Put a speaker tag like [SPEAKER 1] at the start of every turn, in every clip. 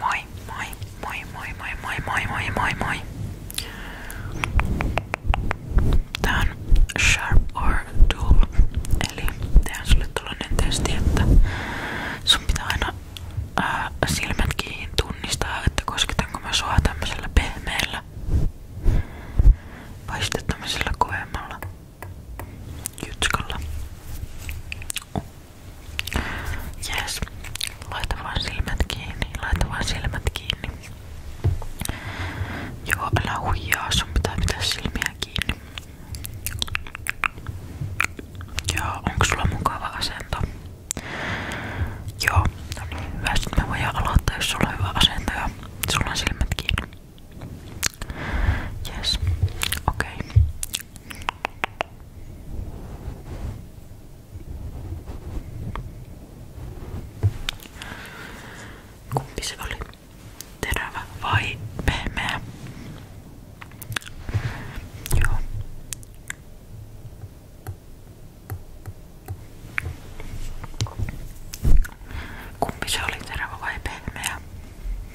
[SPEAKER 1] Moi, moi, moi, moi, moi, moi, moi, moi, moi, moi. Tää on Sharp or Dual. Eli tehdään sulle tällainen testi, että sun pitää aina ää, silmät kiinni tunnistaa, että kosketanko mä sua tämmöisellä pehmeällä vai sitten tämmöisellä kovemmalla jutskalla. Yes. Laita vaan silmät kiinni, laita vaan silmät kiinni. Joo, älä huijaa, sun pitää pitää silmiä kiinni. Joo, onko sulla mukava asento? Joo, no niin, hyvä. Sitten me voidaan aloittaa, jos sulla on hyvä asento ja sulla on silmät kiinni. Yes. Okei. Okay. Kumpi se oli? Terävä vai pehmeä? Joo. Kumpi se oli, terävä vai pehmeä?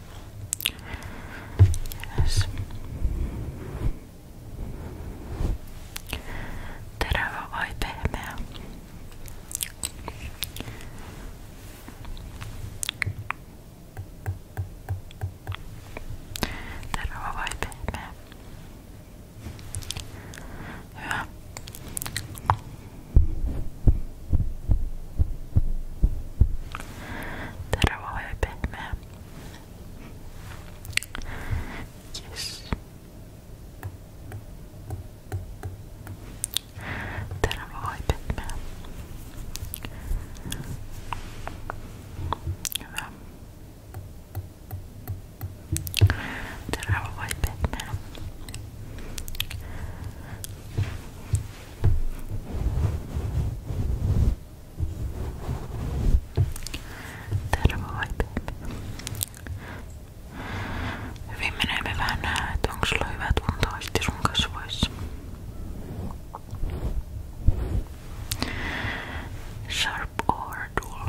[SPEAKER 1] hyvä. Yes. Terävä vai pehmeä? Terävä vai pehmeä? Hyvä. Tää rauha oli pehmeä. Yes. Terävä vai pehmeä? Hyvä. Terävä vai pehmeä? Tervo vai baby. Hyvin menemme vähän nähdä, että onko sulla hyvä tunto sun kasvoissa. Sharp or dull?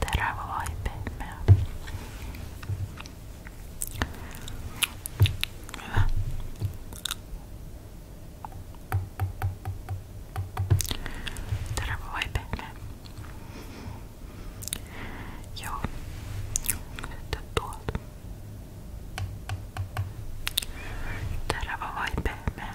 [SPEAKER 1] terävä vai pehmeä. Hyvä. Terävä vai pehmeä? Joo. Sitten tuolta. Terävä vai pehmeä?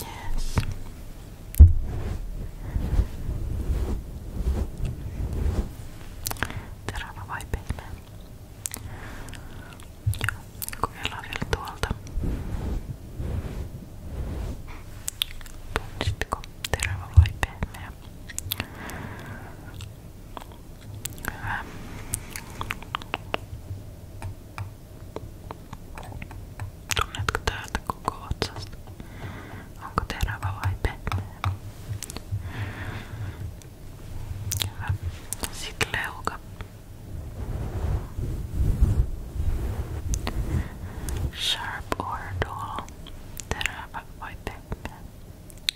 [SPEAKER 1] Yes. Terava vai pehmeä? Joo, kokeillaan vielä tuolta. Tunnistitko terävä vai pehmeä? Hyvä. Tunnetko täältä koko otsasta? Onko terävä vai pehmeä? Hyvä. Sitten leuka. Sharp or dull? Terävä vai pehmeä?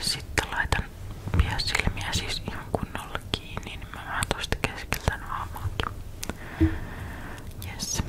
[SPEAKER 1] Sitten laitan pian silmiä siis ihan kunnolla kiinni, niin mä vähän tosta keskeltä naamaakin. Yes.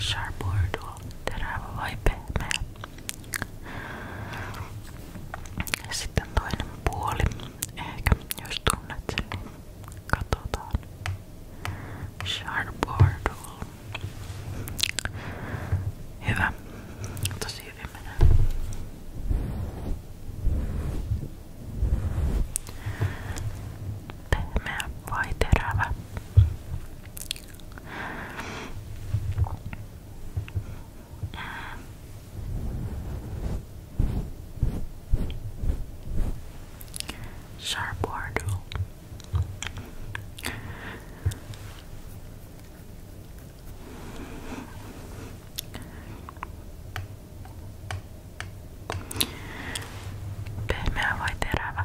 [SPEAKER 1] Sharpua tuo terävä vai pehmeä. Sitten toinen puoli, ehkä jos tunnet sen, niin Katsotaan. Sharpardoll. Hyvä. Tosi hyvin menee. Pehmeä vai terävä? Mm. Sharp Wardle. Pehmeä vai terävä?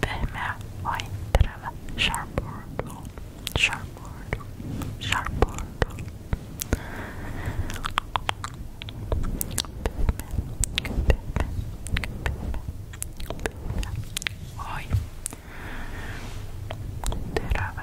[SPEAKER 1] Pehmeä, vaihteleva, sharp-ordu, sharp-ordu, sharp-ordu. Oi. Terävä.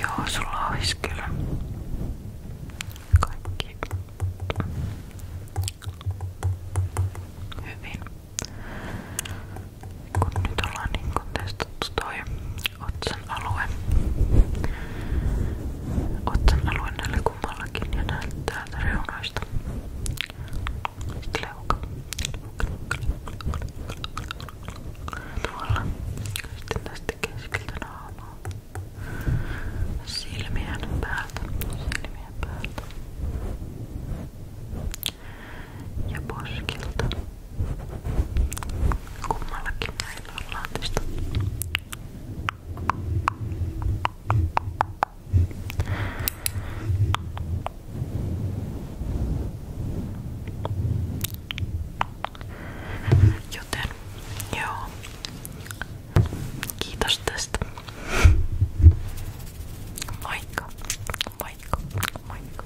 [SPEAKER 1] Joo, sulla olisi kyllä kaikki hyvin. Kun nyt ollaan niin kun tästä nostettu toi otsan alue. Otsan alue näillä kummallakin ja näyttää täältä reunoista. Leuka. Tuolla. Sitten tästä keskeltä naamaa. Silmien päältä. Silmien päältä. Ja poskilta. Kummallakin näillä on laatista. Joten joo. Kiitos tästä. Moikka, moikka, moikka.